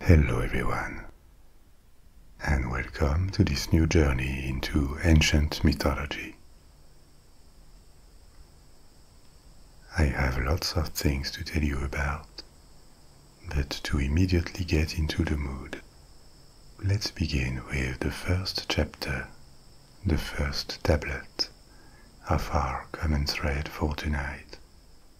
Hello, everyone, and welcome to this new journey into ancient mythology. I have lots of things to tell you about, but to immediately get into the mood, let's begin with the first chapter, the first tablet of our common thread for tonight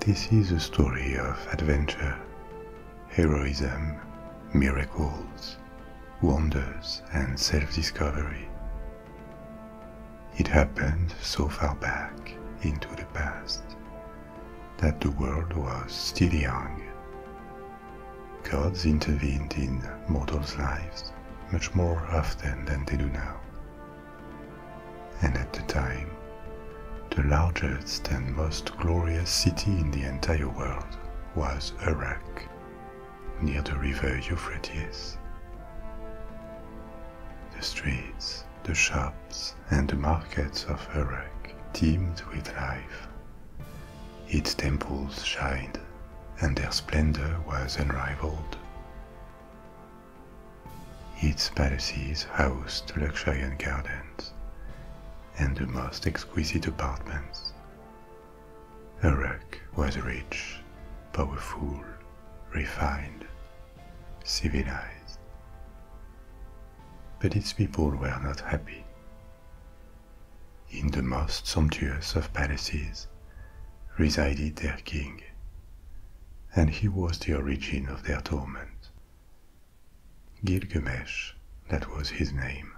This is a story of adventure, heroism, miracles, wonders, and self discovery. It happened so far back into the past that the world was still young. Gods intervened in mortals' lives much more often than they do now, and at the time, the largest and most glorious city in the entire world was Iraq, near the river Euphrates. The streets, the shops, and the markets of Iraq teemed with life. Its temples shined, and their splendor was unrivaled. Its palaces housed luxuriant gardens and the most exquisite apartments. Uruk was rich, powerful, refined, civilized. But its people were not happy. In the most sumptuous of palaces resided their king, and he was the origin of their torment. Gilgamesh, that was his name,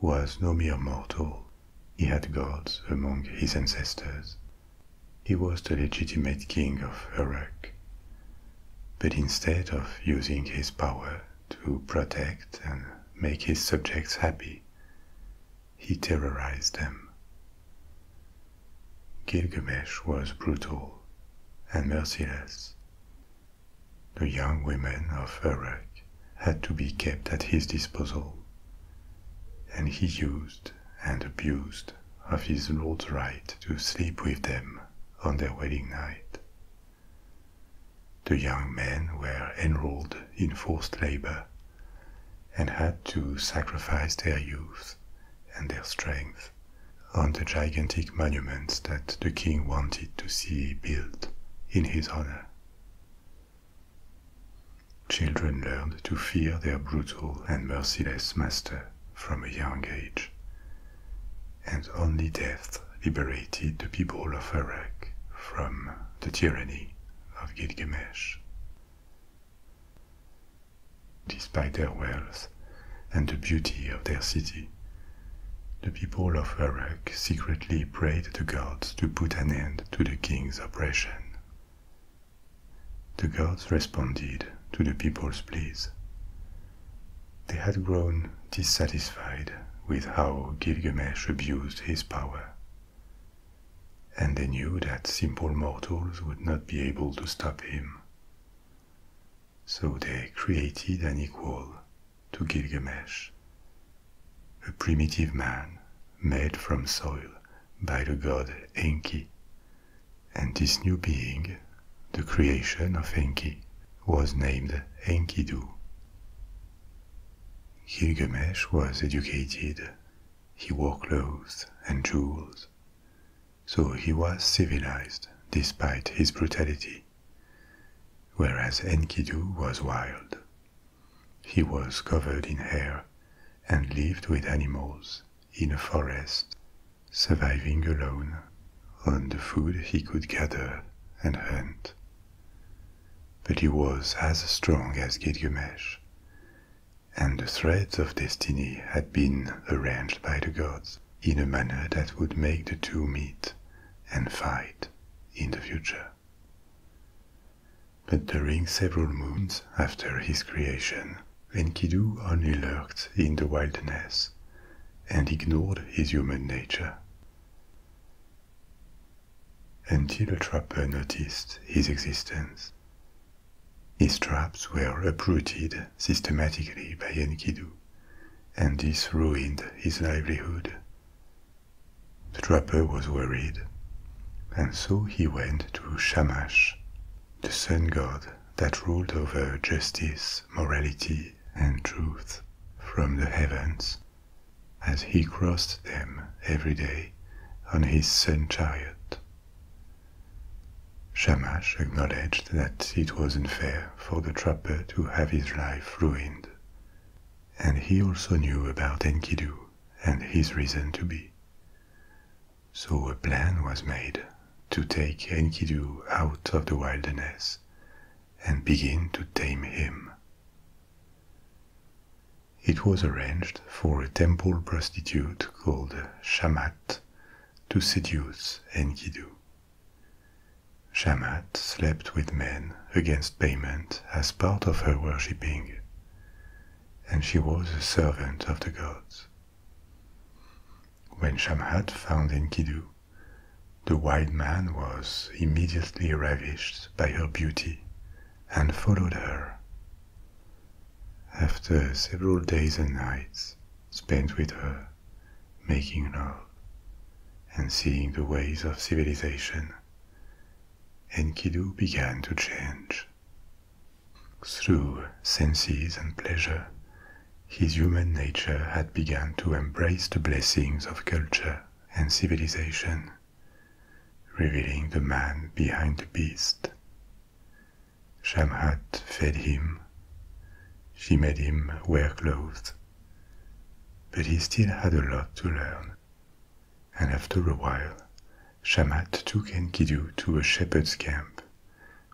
was no mere mortal. He had gods among his ancestors. He was the legitimate king of Uruk. But instead of using his power to protect and make his subjects happy, he terrorized them Gilgamesh was brutal and merciless. The young women of Uruk had to be kept at his disposal, and he used and abused of his lord's right to sleep with them on their wedding night. The young men were enrolled in forced labor and had to sacrifice their youth and their strength on the gigantic monuments that the king wanted to see built in his honor. Children learned to fear their brutal and merciless master from a young age, and only death liberated the people of Iraq from the tyranny of Gilgamesh. Despite their wealth and the beauty of their city, the people of Uruk secretly prayed the gods to put an end to the king's oppression. The gods responded to the people's pleas. They had grown dissatisfied with how Gilgamesh abused his power, and they knew that simple mortals would not be able to stop him. So they created an equal to Gilgamesh, a primitive man made from soil by the god Enki. And this new being, the creation of Enki, was named Enkidu. Gilgamesh was educated. He wore clothes and jewels so he was civilized despite his brutality. Whereas Enkidu was wild. He was covered in hair and lived with animals in a forest, surviving alone on the food he could gather and hunt. But he was as strong as Gilgamesh, and the threads of destiny had been arranged by the gods in a manner that would make the two meet and fight in the future. But during several moons after his creation, Enkidu only lurked in the wilderness and ignored his human nature. Until a trapper noticed his existence his traps were uprooted systematically by Enkidu, and this ruined his livelihood. The trapper was worried, and so he went to Shamash, the sun god that ruled over justice, morality, and truth from the heavens, as he crossed them every day on his sun chariot. Shamash acknowledged that it was unfair for the trapper to have his life ruined, and he also knew about Enkidu and his reason to be. So a plan was made to take Enkidu out of the wilderness and begin to tame him. It was arranged for a temple prostitute called Shamat to seduce Enkidu. Shamhat slept with men against payment as part of her worshipping, and she was a servant of the gods. When Shamhat found Enkidu, the white man was immediately ravished by her beauty and followed her. After several days and nights, spent with her, making love and seeing the ways of civilization, Enkidu began to change. Through senses and pleasure, his human nature had begun to embrace the blessings of culture and civilization, revealing the man behind the beast. Shamhat fed him. She made him wear clothes. But he still had a lot to learn. And after a while, Shamhat took Enkidu to a shepherd's camp,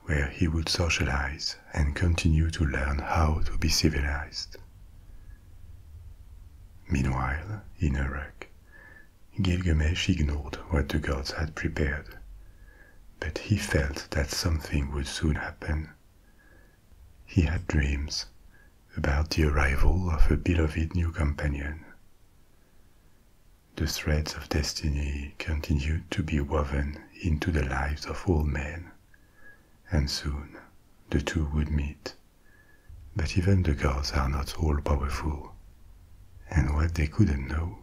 where he would socialize and continue to learn how to be civilized. Meanwhile, in Uruk, Gilgamesh ignored what the gods had prepared but he felt that something would soon happen. He had dreams about the arrival of a beloved new companion. The threads of destiny continued to be woven into the lives of all men, and soon the two would meet. But even the gods are not all powerful, and what they couldn't know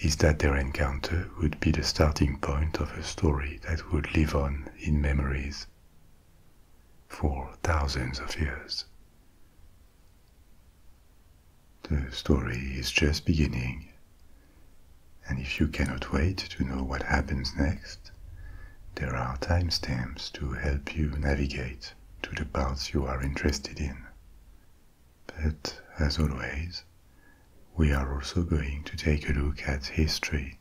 is that their encounter would be the starting point of a story that would live on in memories for thousands of years. The story is just beginning, and if you cannot wait to know what happens next, there are timestamps to help you navigate to the parts you are interested in. But as always, we are also going to take a look at history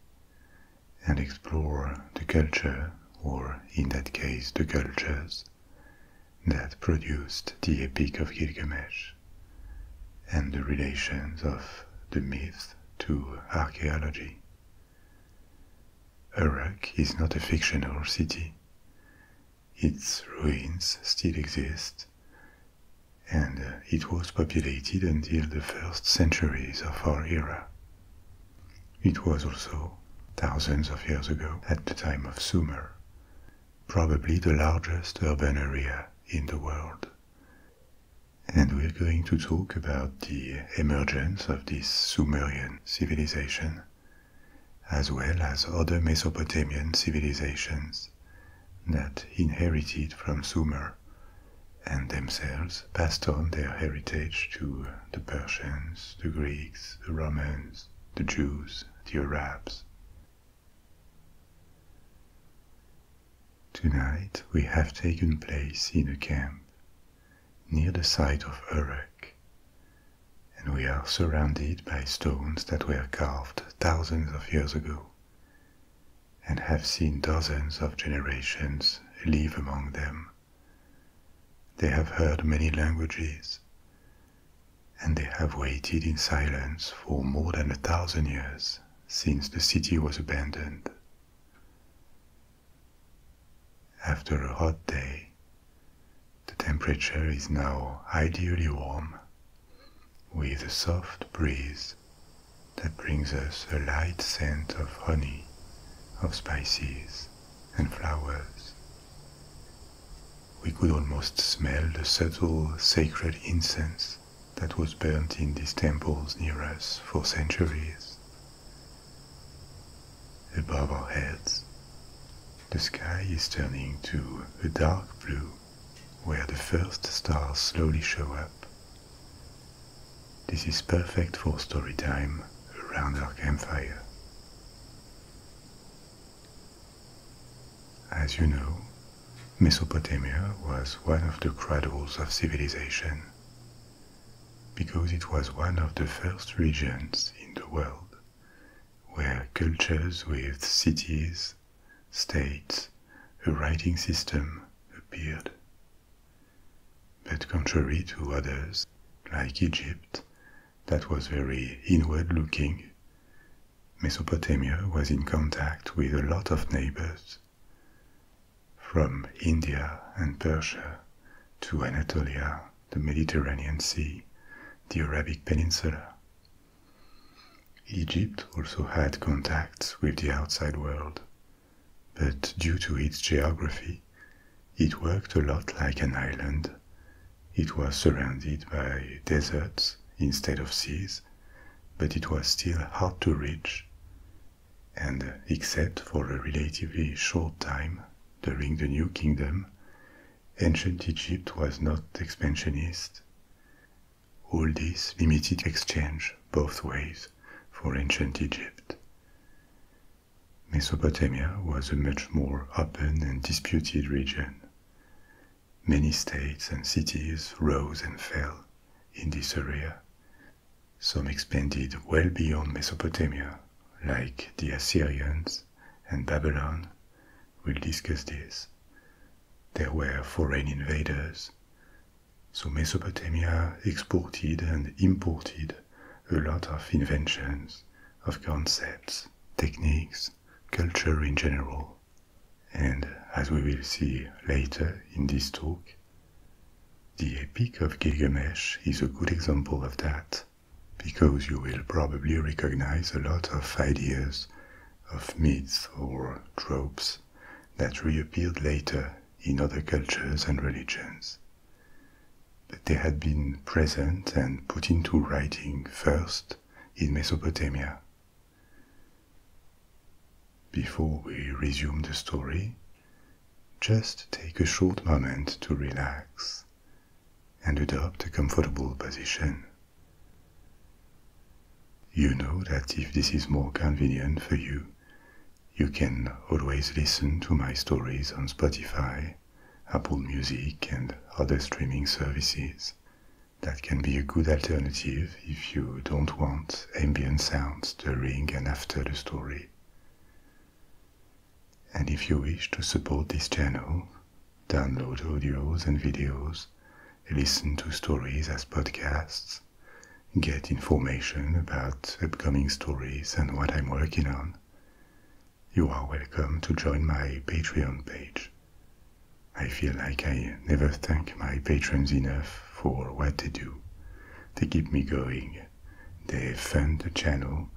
and explore the culture, or in that case, the cultures, that produced the Epic of Gilgamesh and the relations of the myth to archaeology. Uruk is not a fictional city. Its ruins still exist, and uh, it was populated until the first centuries of our era. It was also, thousands of years ago, at the time of Sumer, probably the largest urban area in the world. And we're going to talk about the emergence of this Sumerian civilization, as well as other Mesopotamian civilizations that inherited from Sumer and themselves passed on their heritage to the Persians, the Greeks, the Romans, the Jews, the Arabs. Tonight we have taken place in a camp near the site of Uruk, and we are surrounded by stones that were carved thousands of years ago and have seen dozens of generations live among them. They have heard many languages, and they have waited in silence for more than a thousand years since the city was abandoned. After a hot day, the temperature is now ideally warm with a soft breeze that brings us a light scent of honey, of spices, and flowers. We could almost smell the subtle sacred incense that was burnt in these temples near us for centuries. Above our heads, the sky is turning to a dark blue where the first stars slowly show up. This is perfect for story time around our campfire. As you know, Mesopotamia was one of the cradles of civilization because it was one of the first regions in the world where cultures with cities states, a writing system appeared. But contrary to others, like Egypt, that was very inward looking, Mesopotamia was in contact with a lot of neighbors. From India and Persia to Anatolia, the Mediterranean Sea, the Arabic Peninsula. Egypt also had contacts with the outside world, but due to its geography, it worked a lot like an island. It was surrounded by deserts instead of seas, but it was still hard to reach. And except for a relatively short time during the New Kingdom, ancient Egypt was not expansionist. All this limited exchange both ways for ancient Egypt. Mesopotamia was a much more open and disputed region. Many states and cities rose and fell in this area. Some expanded well beyond Mesopotamia, like the Assyrians and Babylon, We'll discuss this. There were foreign invaders. So Mesopotamia exported and imported a lot of inventions, of concepts, techniques, culture in general. And as we will see later in this talk, the Epic of Gilgamesh is a good example of that, because you will probably recognize a lot of ideas of myths or tropes that reappeared later in other cultures and religions. But they had been present and put into writing first in Mesopotamia. Before we resume the story, just take a short moment to relax and adopt a comfortable position. You know that if this is more convenient for you, you can always listen to my stories on Spotify, Apple Music, and other streaming services. That can be a good alternative if you don't want ambient sounds during and after the story. And if you wish to support this channel, download audios and videos listen to stories as podcasts, get information about upcoming stories and what I'm working on, you are welcome to join my Patreon page. I feel like I never thank my patrons enough for what they do. They keep me going, they fund the channel,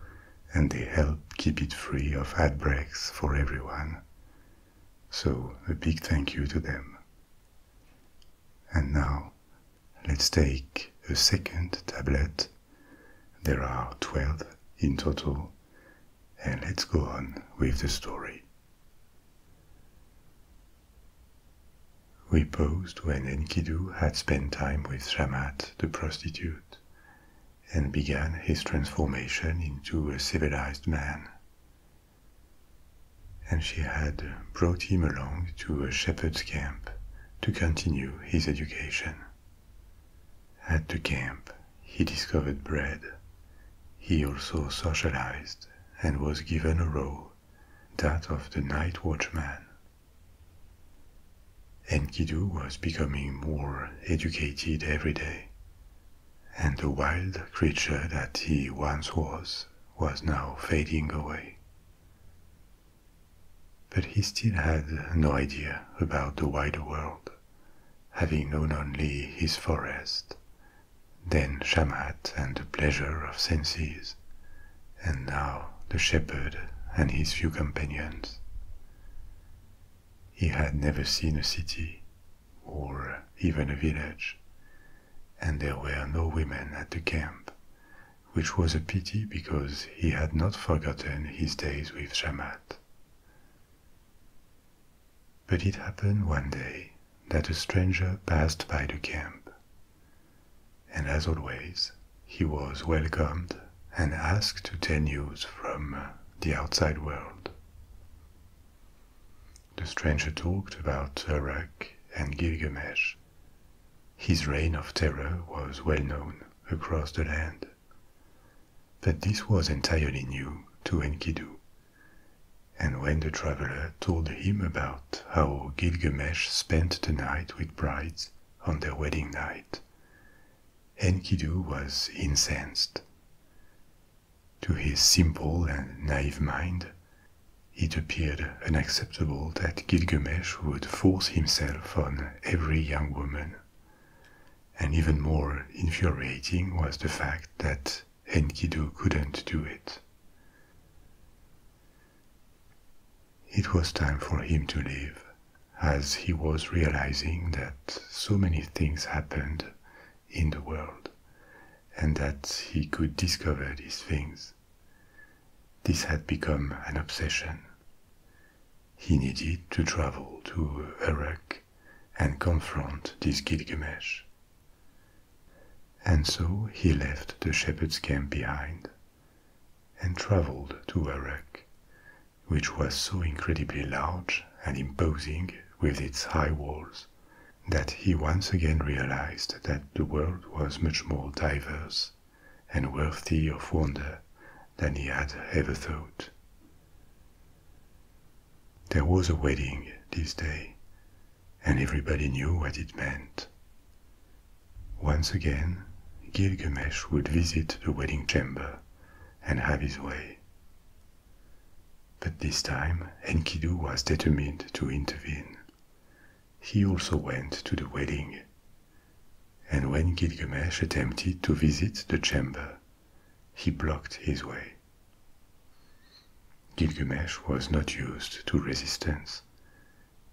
and they help keep it free of ad breaks for everyone. So a big thank you to them. And now let's take a second tablet. There are 12 in total, and let's go on with the story. We paused when Enkidu had spent time with Shamat the prostitute and began his transformation into a civilized man and she had brought him along to a shepherd's camp to continue his education. At the camp, he discovered bread. He also socialized and was given a role, that of the night watchman. Enkidu was becoming more educated every day and the wild creature that he once was was now fading away. But he still had no idea about the wider world, having known only his forest, then Shamat and the pleasure of senses, and now the shepherd and his few companions. He had never seen a city or even a village, and there were no women at the camp, which was a pity because he had not forgotten his days with Shamat. But it happened one day that a stranger passed by the camp, and as always, he was welcomed and asked to tell news from the outside world the stranger talked about Uruk and Gilgamesh. His reign of terror was well known across the land. But this was entirely new to Enkidu. And when the traveler told him about how Gilgamesh spent the night with brides on their wedding night, Enkidu was incensed. To his simple and naive mind, it appeared unacceptable that Gilgamesh would force himself on every young woman. And even more infuriating was the fact that Enkidu couldn't do it. It was time for him to leave, as he was realizing that so many things happened in the world and that he could discover these things. This had become an obsession. He needed to travel to Uruk and confront this Gilgamesh. And so he left the shepherd's camp behind and traveled to Uruk, which was so incredibly large and imposing with its high walls that he once again realized that the world was much more diverse and worthy of wonder than he had ever thought. There was a wedding this day, and everybody knew what it meant. Once again, Gilgamesh would visit the wedding chamber and have his way. But this time, Enkidu was determined to intervene. He also went to the wedding. And when Gilgamesh attempted to visit the chamber, he blocked his way. Gilgamesh was not used to resistance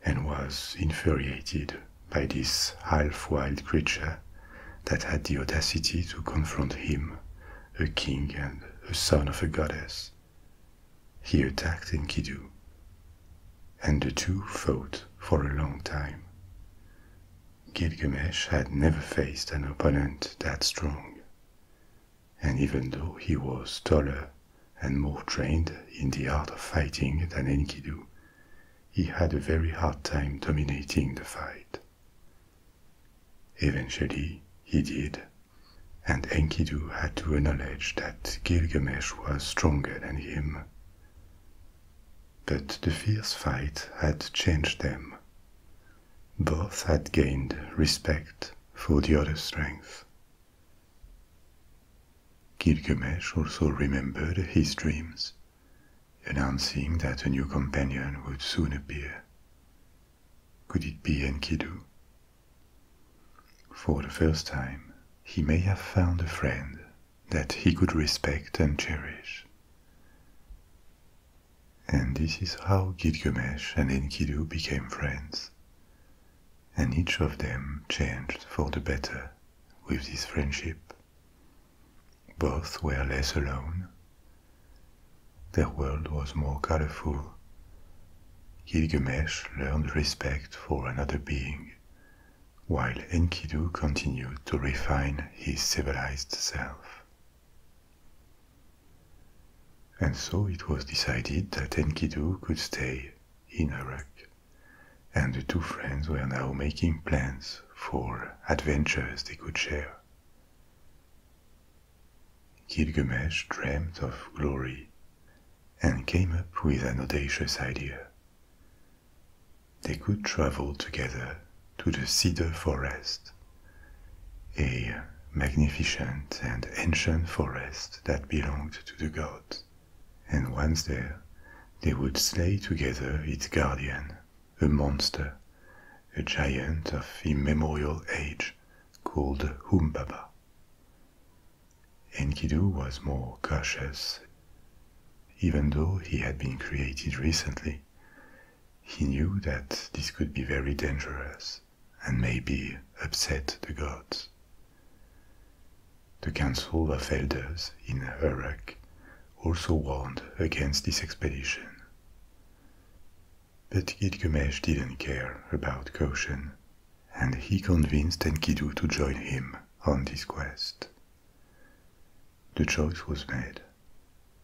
and was infuriated by this half wild creature that had the audacity to confront him a king and a son of a goddess. He attacked Enkidu, and the two fought for a long time. Gilgamesh had never faced an opponent that strong, and even though he was taller and more trained in the art of fighting than Enkidu, he had a very hard time dominating the fight. Eventually, he did, and Enkidu had to acknowledge that Gilgamesh was stronger than him. But the fierce fight had changed them. Both had gained respect for the other's strength. Gilgamesh also remembered his dreams, announcing that a new companion would soon appear. Could it be Enkidu? For the first time, he may have found a friend that he could respect and cherish. And this is how Gilgamesh and Enkidu became friends. And each of them changed for the better with this friendship. Both were less alone their world was more colorful. Gilgamesh learned respect for another being, while Enkidu continued to refine his civilized self. And so it was decided that Enkidu could stay in Iraq, and the two friends were now making plans for adventures they could share. Gilgamesh dreamed of glory and came up with an audacious idea. They could travel together to the cedar forest, a magnificent and ancient forest that belonged to the gods, and once there, they would slay together its guardian, a monster, a giant of immemorial age called Humbaba. Enkidu was more cautious. Even though he had been created recently, he knew that this could be very dangerous and maybe upset the gods. The Council of Elders in Uruk also warned against this expedition. But Gilgamesh didn't care about caution, and he convinced Enkidu to join him on this quest. The choice was made.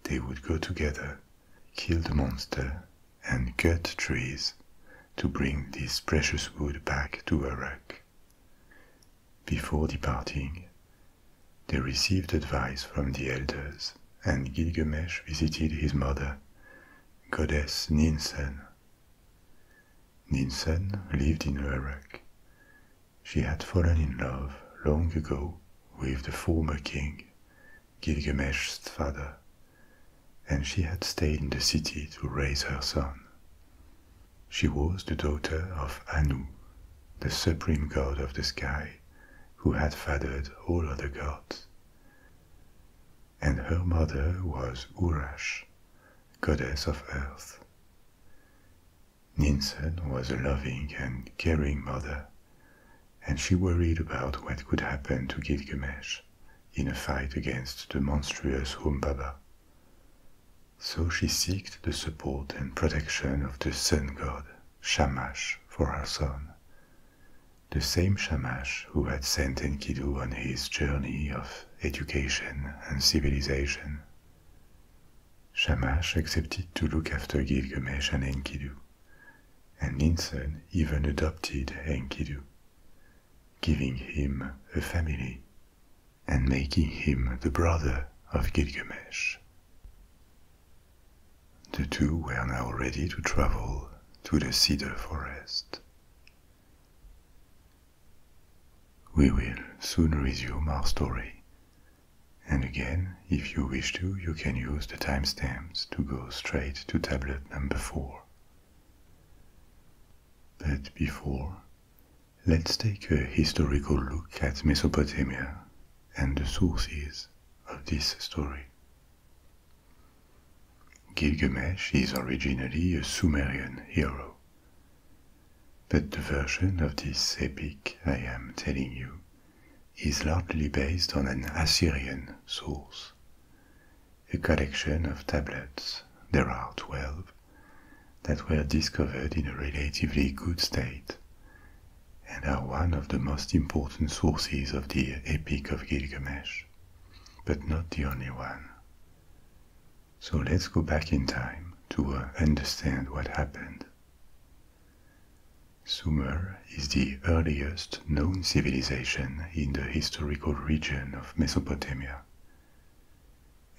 They would go together, kill the monster, and cut trees to bring this precious wood back to Uruk. Before departing, they received advice from the elders and Gilgamesh visited his mother, goddess Ninsen. Ninsen lived in Uruk. She had fallen in love long ago with the former king, Gilgamesh's father, and she had stayed in the city to raise her son. She was the daughter of Anu, the supreme god of the sky, who had fathered all other gods and her mother was Urash, goddess of earth. Ninsen was a loving and caring mother, and she worried about what could happen to Gilgamesh in a fight against the monstrous Humbaba. So she sought the support and protection of the sun god Shamash for her son, the same Shamash who had sent Enkidu on his journey of education and civilization. Shamash accepted to look after Gilgamesh and Enkidu, and Ninsen even adopted Enkidu, giving him a family and making him the brother of Gilgamesh. The two were now ready to travel to the cedar forest. We will soon resume our story, and again, if you wish to, you can use the timestamps to go straight to tablet number 4. But before, let's take a historical look at Mesopotamia and the sources of this story. Gilgamesh is originally a Sumerian hero. But the version of this epic I am telling you is largely based on an Assyrian source, a collection of tablets, there are twelve, that were discovered in a relatively good state and are one of the most important sources of the Epic of Gilgamesh, but not the only one. So let's go back in time to uh, understand what happened. Sumer is the earliest known civilization in the historical region of Mesopotamia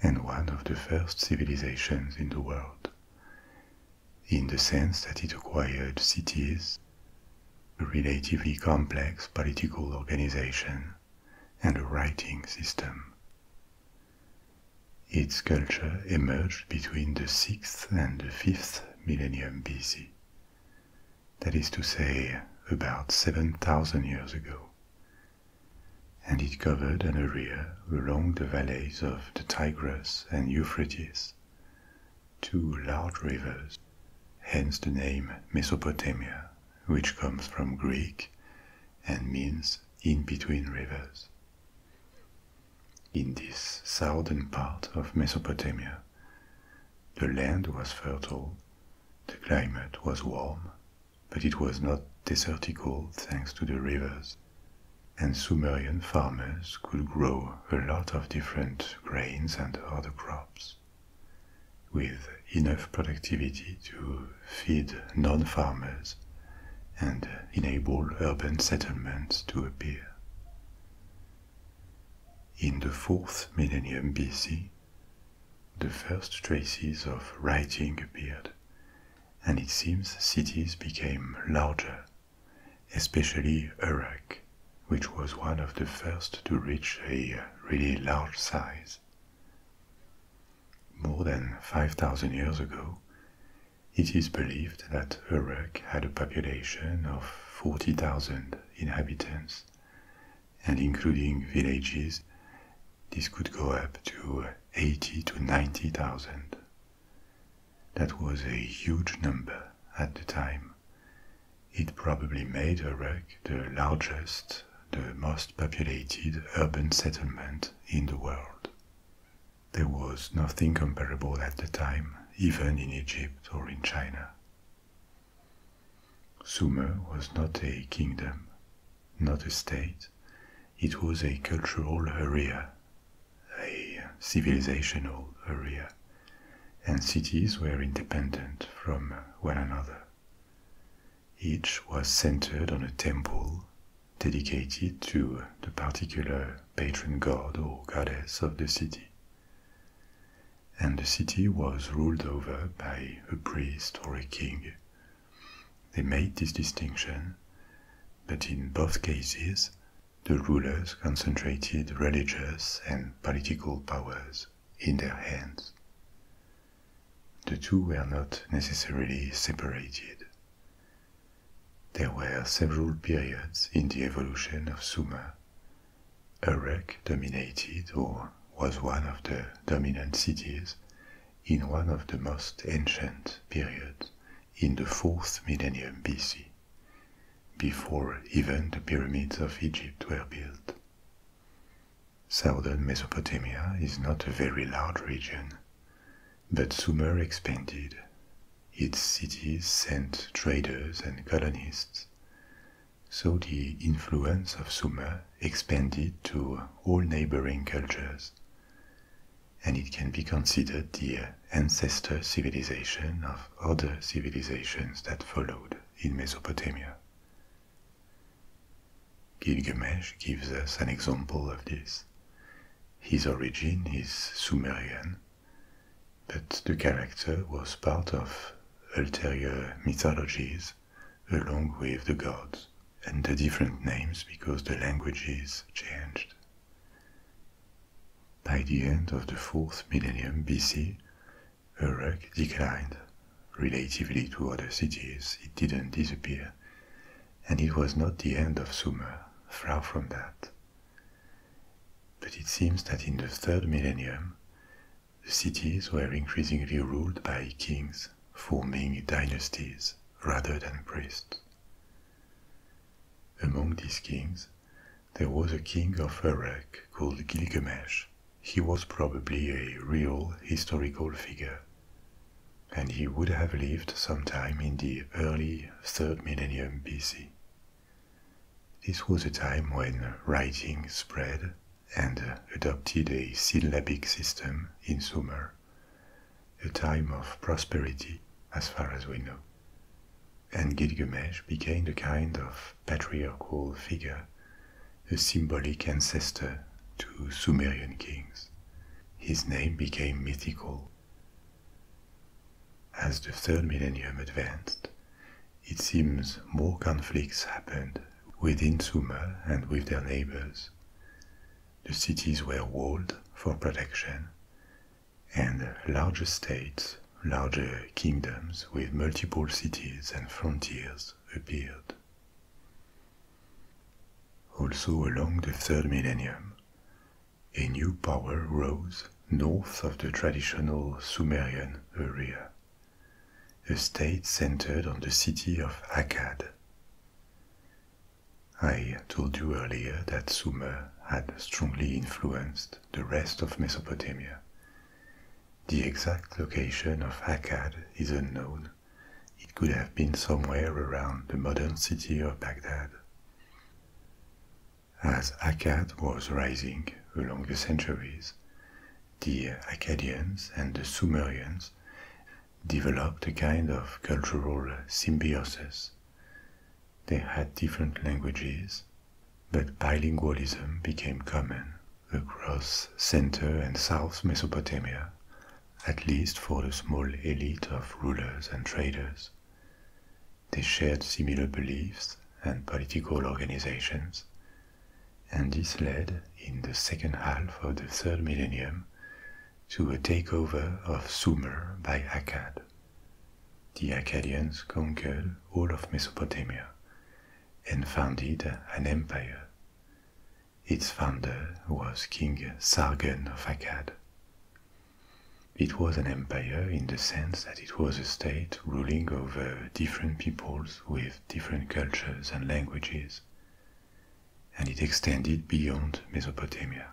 and one of the first civilizations in the world in the sense that it acquired cities a relatively complex political organization, and a writing system. Its culture emerged between the 6th and the 5th millennium BC, that is to say, about 7,000 years ago, and it covered an area along the valleys of the Tigris and Euphrates two large rivers, hence the name Mesopotamia, which comes from Greek and means in between rivers. In this southern part of Mesopotamia, the land was fertile, the climate was warm, but it was not desertical thanks to the rivers, and Sumerian farmers could grow a lot of different grains and other crops, with enough productivity to feed non farmers and enable urban settlements to appear. In the fourth millennium BC, the first traces of writing appeared, and it seems cities became larger especially Uruk, which was one of the first to reach a really large size. More than 5,000 years ago, it is believed that Uruk had a population of 40,000 inhabitants, and including villages, this could go up to 80 to 90,000. That was a huge number at the time. It probably made Uruk the largest, the most populated urban settlement in the world. There was nothing comparable at the time, even in Egypt or in China. Sumer was not a kingdom, not a state, it was a cultural area, a civilizational area and cities were independent from one another. Each was centered on a temple dedicated to the particular patron god or goddess of the city. And the city was ruled over by a priest or a king. They made this distinction, but in both cases, the rulers concentrated religious and political powers in their hands. The two were not necessarily separated. There were several periods in the evolution of Sumer. Uruk dominated or was one of the dominant cities in one of the most ancient periods in the fourth millennium BC before even the pyramids of Egypt were built. Southern Mesopotamia is not a very large region, but Sumer expanded. Its cities sent traders and colonists, so the influence of Sumer expanded to all neighboring cultures, and it can be considered the ancestor civilization of other civilizations that followed in Mesopotamia. Gilgamesh gives us an example of this. His origin is Sumerian, but the character was part of ulterior mythologies along with the gods and the different names because the languages changed. By the end of the fourth millennium BC, Uruk declined. Relatively to other cities, it didn't disappear, and it was not the end of Sumer, far from that. But it seems that in the third millennium, the cities were increasingly ruled by kings, forming dynasties rather than priests. Among these kings, there was a king of Uruk called Gilgamesh. He was probably a real historical figure. And he would have lived sometime in the early third millennium BC. This was a time when writing spread and adopted a syllabic system in Sumer, a time of prosperity as far as we know and Gilgamesh became a kind of patriarchal figure, a symbolic ancestor to Sumerian kings. His name became mythical. As the third millennium advanced, it seems more conflicts happened within Sumer and with their neighbors. The cities were walled for protection, and large estates larger kingdoms with multiple cities and frontiers appeared. Also, along the third millennium, a new power rose north of the traditional Sumerian area, a state centered on the city of Akkad. I told you earlier that Sumer had strongly influenced the rest of Mesopotamia, the exact location of Akkad is unknown. It could have been somewhere around the modern city of Baghdad. As Akkad was rising along the centuries, the Akkadians and the Sumerians developed a kind of cultural symbiosis. They had different languages, but bilingualism became common across Center and South Mesopotamia, at least for the small elite of rulers and traders. They shared similar beliefs and political organizations, and this led, in the second half of the third millennium, to a takeover of Sumer by Akkad. The Akkadians conquered all of Mesopotamia and founded an empire. Its founder was King Sargon of Akkad. It was an empire in the sense that it was a state ruling over different peoples with different cultures and languages, and it extended beyond Mesopotamia.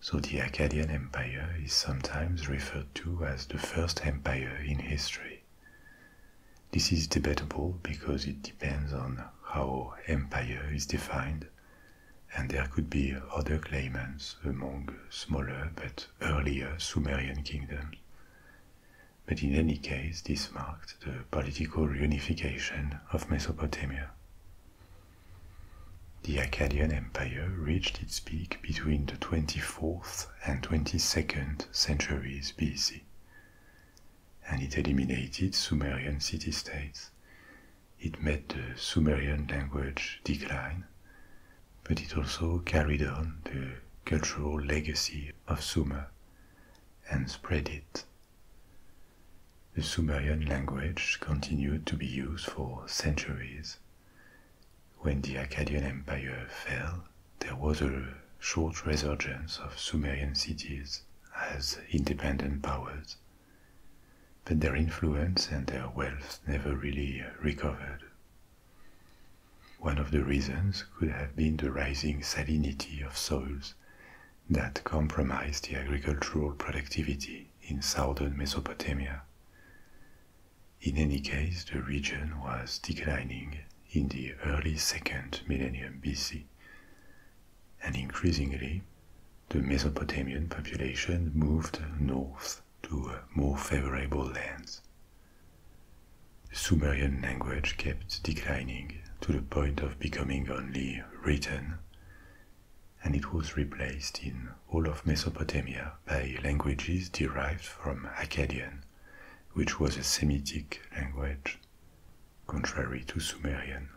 So the Akkadian Empire is sometimes referred to as the first empire in history. This is debatable because it depends on how empire is defined, and there could be other claimants among smaller but earlier Sumerian kingdoms. But in any case, this marked the political reunification of Mesopotamia. The Akkadian Empire reached its peak between the 24th and 22nd centuries BC. And it eliminated Sumerian city states. It made the Sumerian language decline, but it also carried on the cultural legacy of Sumer and spread it. The Sumerian language continued to be used for centuries, when the Akkadian Empire fell, there was a short resurgence of Sumerian cities as independent powers, but their influence and their wealth never really recovered. One of the reasons could have been the rising salinity of soils that compromised the agricultural productivity in southern Mesopotamia. In any case, the region was declining in the early second millennium BC, and increasingly the Mesopotamian population moved north to more favorable lands. The Sumerian language kept declining to the point of becoming only written, and it was replaced in all of Mesopotamia by languages derived from Akkadian, which was a Semitic language, contrary to Sumerian.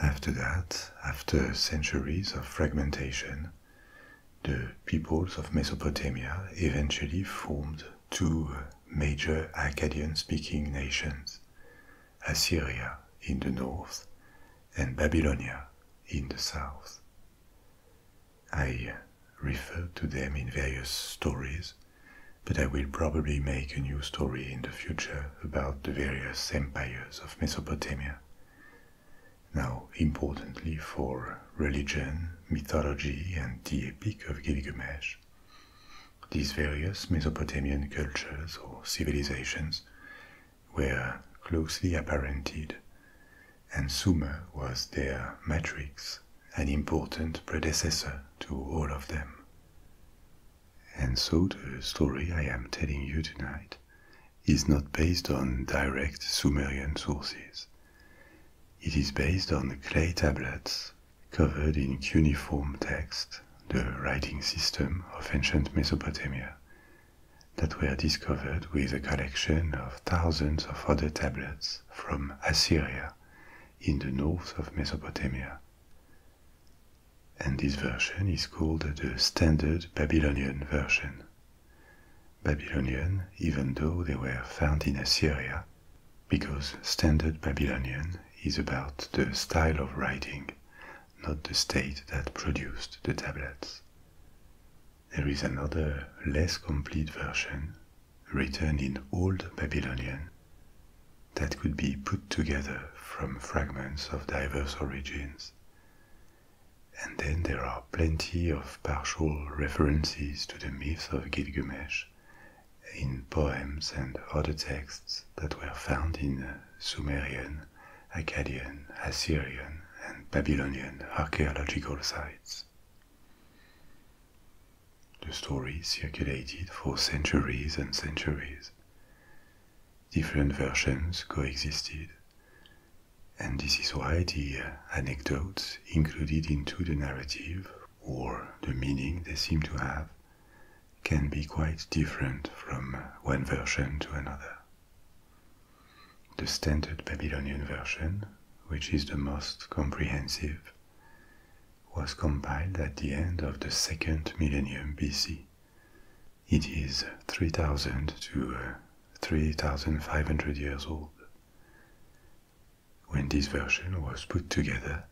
After that, after centuries of fragmentation, the peoples of Mesopotamia eventually formed two major Akkadian speaking nations Assyria in the north and Babylonia in the south. I uh, refer to them in various stories, but I will probably make a new story in the future about the various empires of Mesopotamia. Now, importantly for religion, mythology, and the Epic of Gilgamesh, these various Mesopotamian cultures or civilizations were closely apparented, and Sumer was their matrix, an important predecessor to all of them. And so the story I am telling you tonight is not based on direct Sumerian sources. It is based on clay tablets covered in cuneiform text, the writing system of ancient Mesopotamia, that were discovered with a collection of thousands of other tablets from Assyria in the north of Mesopotamia. And this version is called the Standard Babylonian Version. Babylonian, even though they were found in Assyria, because Standard Babylonian is about the style of writing, not the state that produced the tablets. There is another less complete version written in Old Babylonian that could be put together from fragments of diverse origins. And then there are plenty of partial references to the myths of Gilgamesh in poems and other texts that were found in Sumerian, Akkadian, Assyrian, and Babylonian archaeological sites. The story circulated for centuries and centuries. Different versions coexisted, and this is why the anecdotes included into the narrative or the meaning they seem to have can be quite different from one version to another. The Standard Babylonian version, which is the most comprehensive, was compiled at the end of the second millennium BC. It is 3000 to uh, 3500 years old. When this version was put together,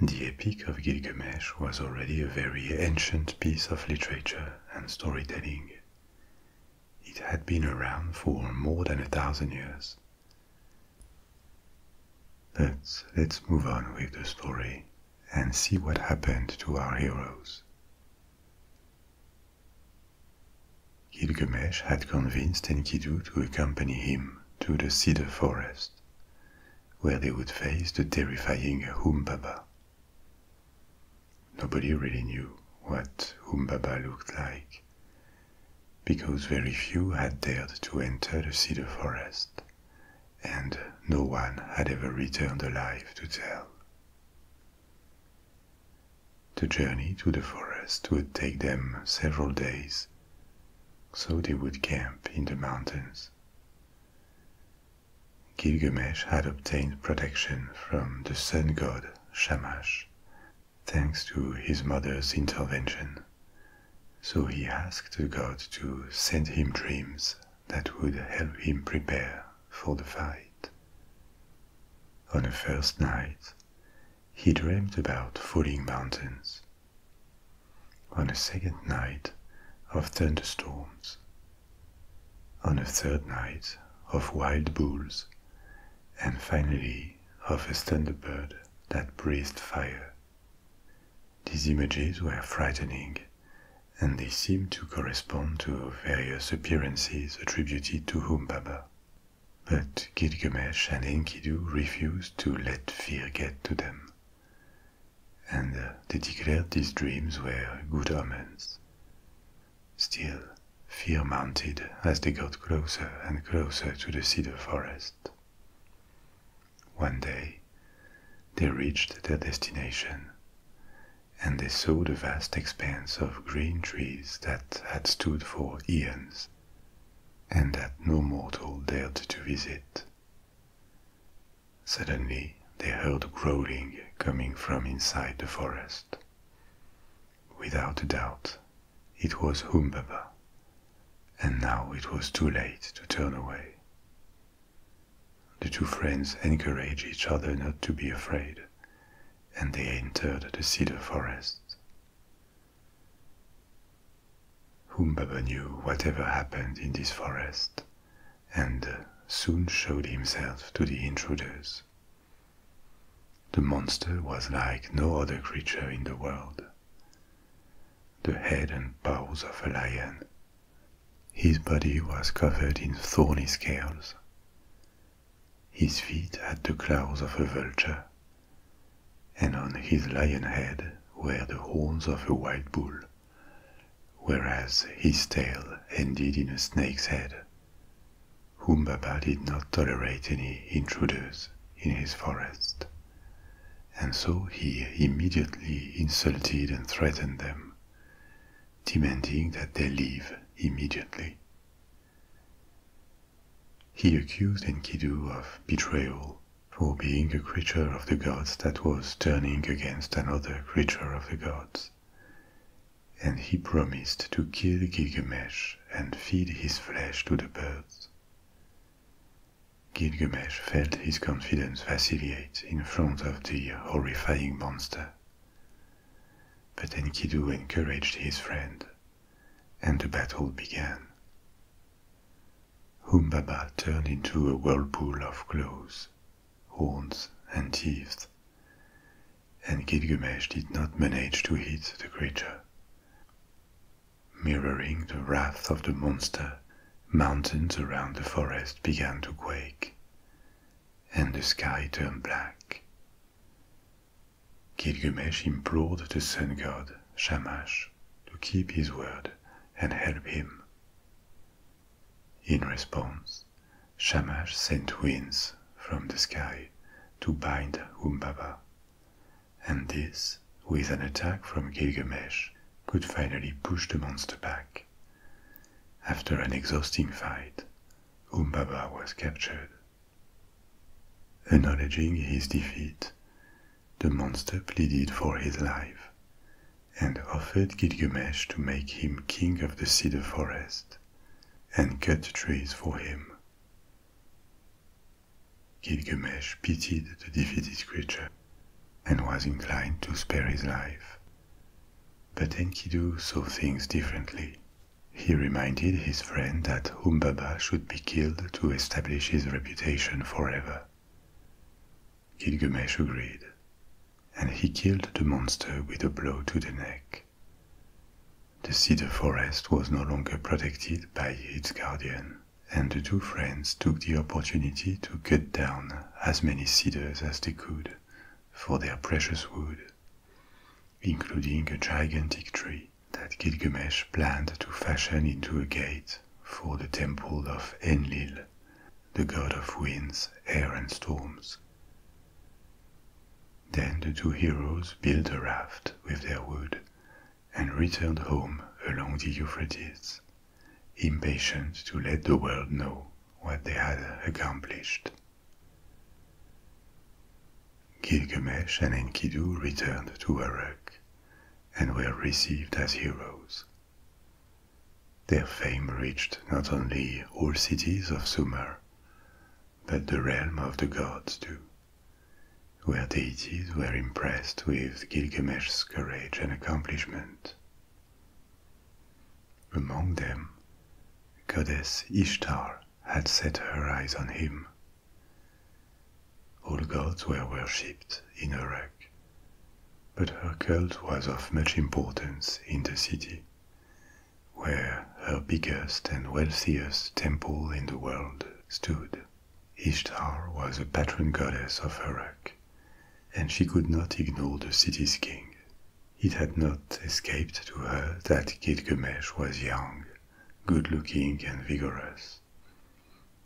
the Epic of Gilgamesh was already a very ancient piece of literature and storytelling. It had been around for more than a thousand years. But let's move on with the story and see what happened to our heroes. Gilgamesh had convinced Enkidu to accompany him to the cedar forest, where they would face the terrifying Humbaba. Nobody really knew what Umbaba looked like, because very few had dared to enter the cedar forest, and no one had ever returned alive to tell. The journey to the forest would take them several days, so they would camp in the mountains. Gilgamesh had obtained protection from the sun god Shamash, thanks to his mother's intervention. So he asked the God to send him dreams that would help him prepare for the fight. On the first night, he dreamed about falling mountains. On the second night, of thunderstorms. On the third night, of wild bulls and finally of a thunderbird that breathed fire. These images were frightening, and they seemed to correspond to various appearances attributed to Humbaba. But Gilgamesh and Enkidu refused to let fear get to them, and they declared these dreams were good omens. Still, fear mounted as they got closer and closer to the cedar forest. One day, they reached their destination, and they saw the vast expanse of green trees that had stood for eons, and that no mortal dared to visit. Suddenly, they heard growling coming from inside the forest. Without a doubt, it was Humbaba, and now it was too late to turn away. The two friends encouraged each other not to be afraid, and they entered the cedar forest. Humbaba knew whatever happened in this forest, and uh, soon showed himself to the intruders the monster was like no other creature in the world. The head and paws of a lion. His body was covered in thorny scales. His feet had the claws of a vulture, and on his lion head were the horns of a wild bull, whereas his tail ended in a snake's head Humbaba did not tolerate any intruders in his forest, and so he immediately insulted and threatened them, demanding that they leave immediately. He accused Enkidu of betrayal for being a creature of the gods that was turning against another creature of the gods and he promised to kill Gilgamesh and feed his flesh to the birds. Gilgamesh felt his confidence vacillate in front of the horrifying monster. But Enkidu encouraged his friend, and the battle began. Humbaba turned into a whirlpool of claws, horns, and teeth and Gilgamesh did not manage to hit the creature. Mirroring the wrath of the monster, mountains around the forest began to quake, and the sky turned black. Gilgamesh implored the sun god, Shamash, to keep his word and help him. In response, Shamash sent winds from the sky to bind Humbaba, and this, with an attack from Gilgamesh, could finally push the monster back. After an exhausting fight, Humbaba was captured. Acknowledging his defeat, the monster pleaded for his life and offered Gilgamesh to make him king of the cedar forest and cut trees for him. Gilgamesh pitied the defeated creature and was inclined to spare his life. But Enkidu saw things differently. He reminded his friend that Humbaba should be killed to establish his reputation forever. Gilgamesh agreed, and he killed the monster with a blow to the neck. The cedar forest was no longer protected by its guardian, and the two friends took the opportunity to cut down as many cedars as they could for their precious wood, including a gigantic tree that Gilgamesh planned to fashion into a gate for the temple of Enlil, the god of winds, air, and storms. Then the two heroes built a raft with their wood and returned home along the Euphrates, impatient to let the world know what they had accomplished. Gilgamesh and Enkidu returned to Uruk and were received as heroes. Their fame reached not only all cities of Sumer, but the realm of the gods too, where deities were impressed with Gilgamesh's courage and accomplishment. Among them, goddess Ishtar had set her eyes on him. All gods were worshipped in Uruk, but her cult was of much importance in the city where her biggest and wealthiest temple in the world stood. Ishtar was the patron goddess of Uruk, and she could not ignore the city's king. It had not escaped to her that Gilgamesh was young, good looking, and vigorous.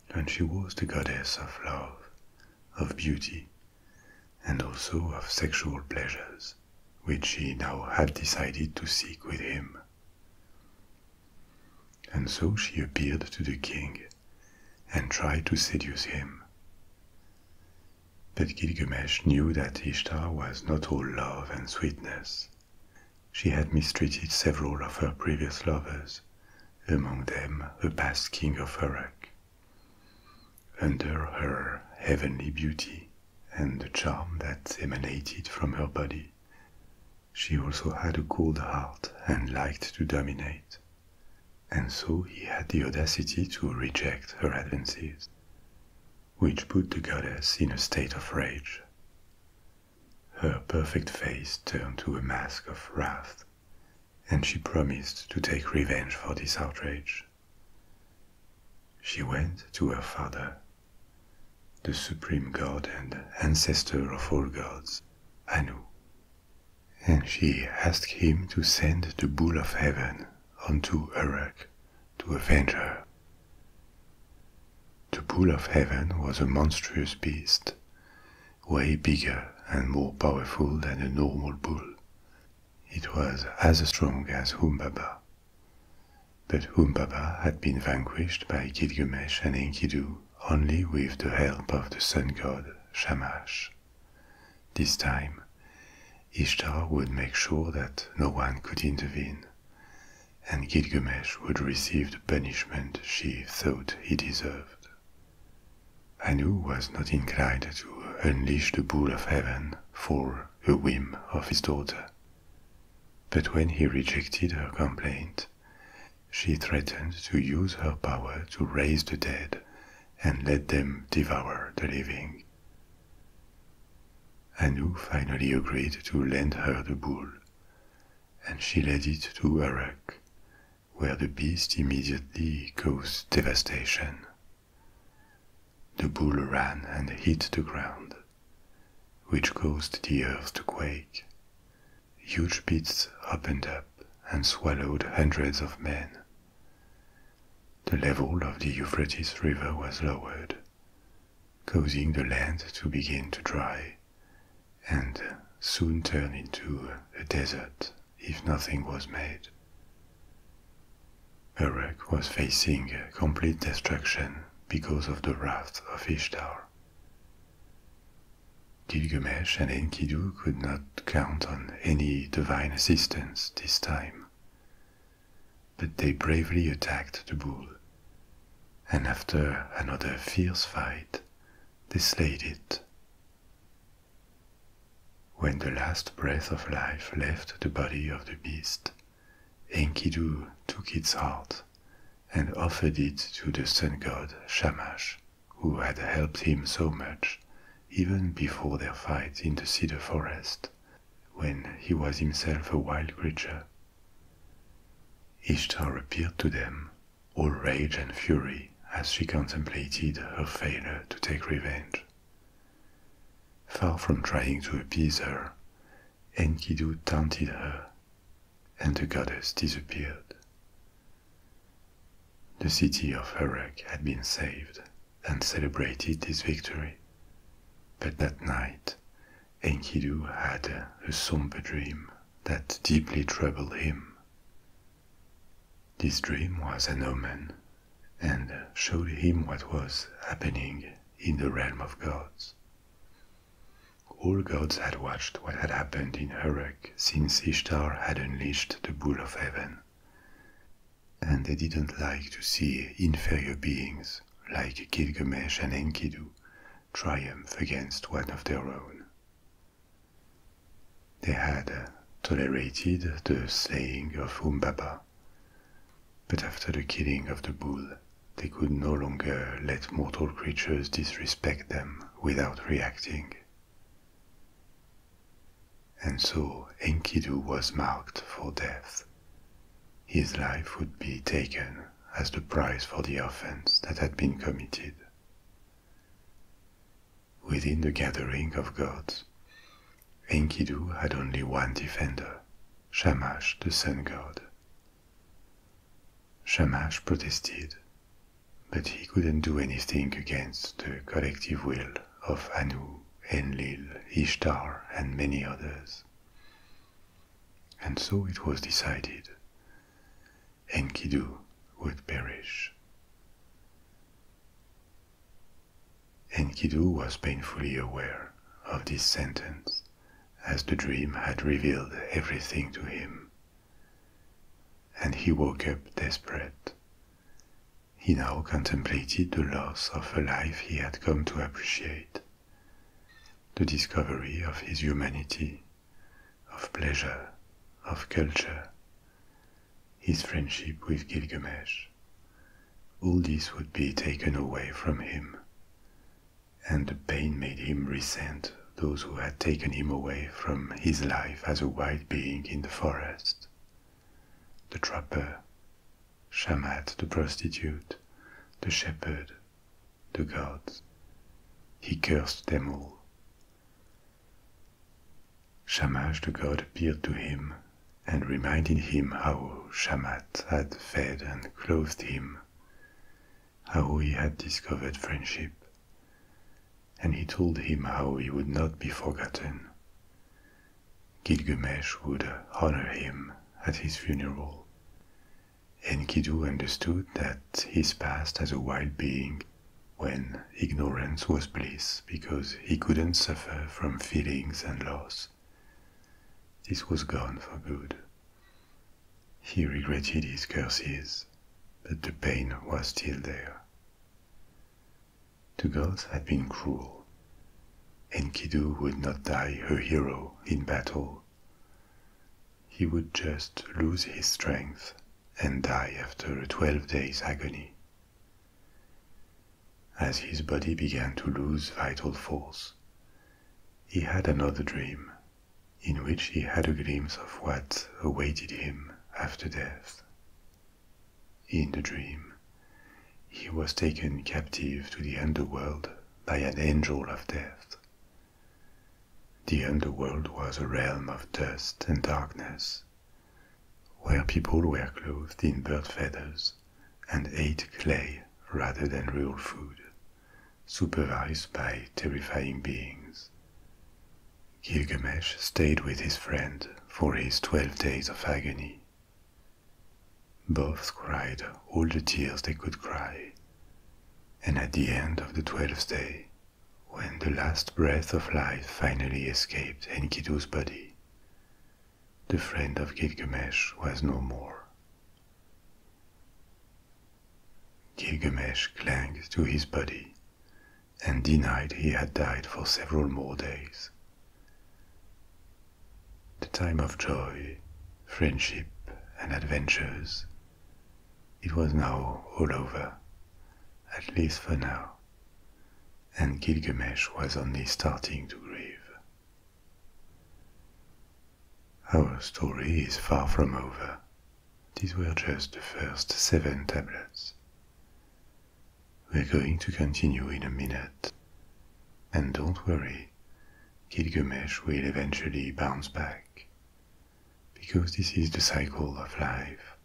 And she was the goddess of love, of beauty, and also of sexual pleasures which she now had decided to seek with him. And so she appeared to the king and tried to seduce him. But Gilgamesh knew that Ishtar was not all love and sweetness. She had mistreated several of her previous lovers, among them the past king of Uruk. Under her heavenly beauty, and the charm that emanated from her body. She also had a cold heart and liked to dominate, and so he had the audacity to reject her advances, which put the goddess in a state of rage. Her perfect face turned to a mask of wrath, and she promised to take revenge for this outrage. She went to her father, the supreme god and ancestor of all gods, Anu, and she asked him to send the bull of heaven onto Uruk to avenge her. The bull of heaven was a monstrous beast, way bigger and more powerful than a normal bull. It was as strong as Humbaba but Humbaba had been vanquished by Gilgamesh and Enkidu only with the help of the sun god Shamash. This time, Ishtar would make sure that no one could intervene, and Gilgamesh would receive the punishment she thought he deserved. Anu was not inclined to unleash the bull of heaven for a whim of his daughter. But when he rejected her complaint, she threatened to use her power to raise the dead and let them devour the living. Anu finally agreed to lend her the bull, and she led it to Uruk, where the beast immediately caused devastation. The bull ran and hit the ground, which caused the earth to quake. Huge pits opened up and swallowed hundreds of men. The level of the Euphrates River was lowered, causing the land to begin to dry and soon turn into a desert if nothing was made. Uruk was facing complete destruction because of the wrath of Ishtar. Gilgamesh and Enkidu could not count on any divine assistance this time, but they bravely attacked the bull, and after another fierce fight, they slayed it. When the last breath of life left the body of the beast, Enkidu took its heart and offered it to the sun god Shamash, who had helped him so much even before their fight in the cedar forest, when he was himself a wild creature. Ishtar appeared to them, all rage and fury as she contemplated her failure to take revenge. Far from trying to appease her, Enkidu taunted her, and the goddess disappeared. The city of Uruk had been saved and celebrated its victory, but that night Enkidu had a somber dream that deeply troubled him. This dream was an omen and showed him what was happening in the realm of gods. All gods had watched what had happened in Uruk since Ishtar had unleashed the Bull of Heaven. And they didn't like to see inferior beings like Gilgamesh and Enkidu triumph against one of their own. They had tolerated the saying of Umbaba, but after the killing of the bull, they could no longer let mortal creatures disrespect them without reacting. And so Enkidu was marked for death. His life would be taken as the price for the offense that had been committed. Within the gathering of gods, Enkidu had only one defender, Shamash the sun god. Shamash protested, but he couldn't do anything against the collective will of Anu, Enlil, Ishtar, and many others. And so it was decided. Enkidu would perish. Enkidu was painfully aware of this sentence as the dream had revealed everything to him. And he woke up desperate. He now contemplated the loss of a life he had come to appreciate, the discovery of his humanity, of pleasure, of culture, his friendship with Gilgamesh. All this would be taken away from him and the pain made him resent those who had taken him away from his life as a wild being in the forest. The trapper, Shamat the prostitute, the shepherd, the gods. He cursed them all. Shamash the god appeared to him and reminded him how Shamat had fed and clothed him how he had discovered friendship, and he told him how he would not be forgotten. Gilgamesh would honor him at his funeral. And Enkidu understood that his past as a wild being, when ignorance was bliss because he couldn't suffer from feelings and loss, this was gone for good. He regretted his curses, but the pain was still there. The gods had been cruel. Enkidu would not die her hero in battle. He would just lose his strength and die after a 12 days agony. As his body began to lose vital force, he had another dream, in which he had a glimpse of what awaited him after death. In the dream, he was taken captive to the underworld by an angel of death. The underworld was a realm of dust and darkness, where people were clothed in bird feathers and ate clay rather than real food supervised by terrifying beings. Gilgamesh stayed with his friend for his 12 days of agony. Both cried all the tears they could cry, and at the end of the 12th day, when the last breath of life finally escaped Enkidu's body, the friend of Gilgamesh was no more. Gilgamesh clung to his body and denied he had died for several more days. The time of joy, friendship, and adventures. It was now all over, at least for now, and Gilgamesh was only starting to grieve. Our story is far from over. These were just the first seven tablets. We're going to continue in a minute. And don't worry, Kilgumesh will eventually bounce back. Because this is the cycle of life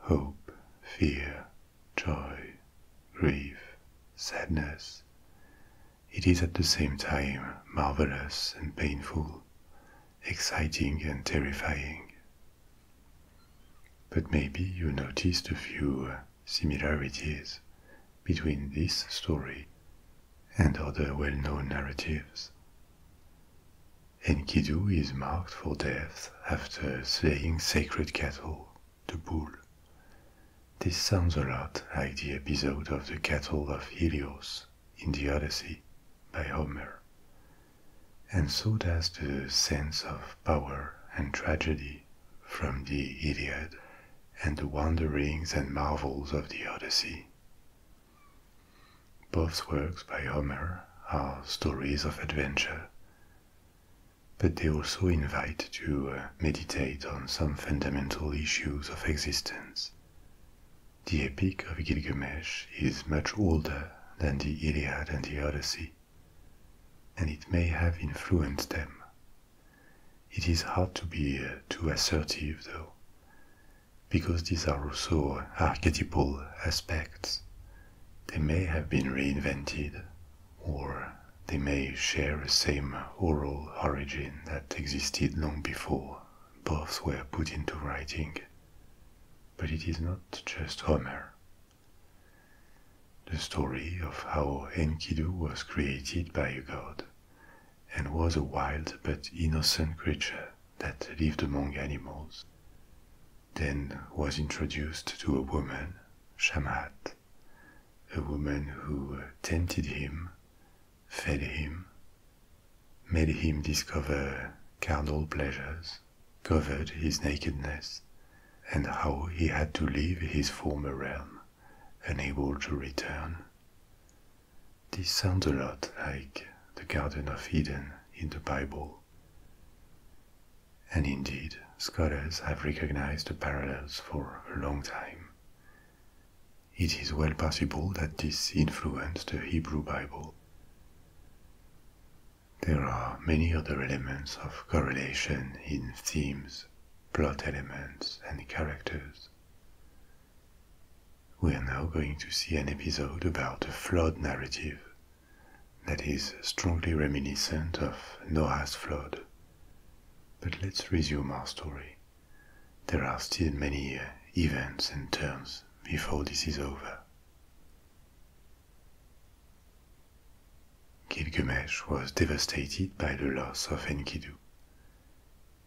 hope, fear, joy, grief, sadness it is at the same time marvelous and painful, exciting and terrifying. But maybe you noticed a few similarities between this story and other well known narratives. Enkidu is marked for death after slaying sacred cattle, the bull. This sounds a lot like the episode of the cattle of Helios in the Odyssey by Homer. And so does the sense of power and tragedy from the Iliad and the wanderings and marvels of the Odyssey. Both works by Homer are stories of adventure, but they also invite you meditate on some fundamental issues of existence. The Epic of Gilgamesh is much older than the Iliad and the Odyssey, and it may have influenced them. It is hard to be uh, too assertive, though, because these are also archetypal aspects. They may have been reinvented or they may share the same oral origin that existed long before both were put into writing. But it is not just Homer. The story of how Enkidu was created by a god and was a wild but innocent creature that lived among animals, then was introduced to a woman, Shamhat, a woman who tempted him fed him, made him discover carnal pleasures, covered his nakedness, and how he had to leave his former realm, unable to return. This sounds a lot like the Garden of Eden in the Bible. And indeed, scholars have recognized the parallels for a long time, it is well possible that this influenced the Hebrew Bible. There are many other elements of correlation in themes, plot elements, and characters. We are now going to see an episode about a flood narrative that is strongly reminiscent of Noah's flood. But let's resume our story. There are still many uh, events and turns before this is over. Gilgamesh was devastated by the loss of Enkidu,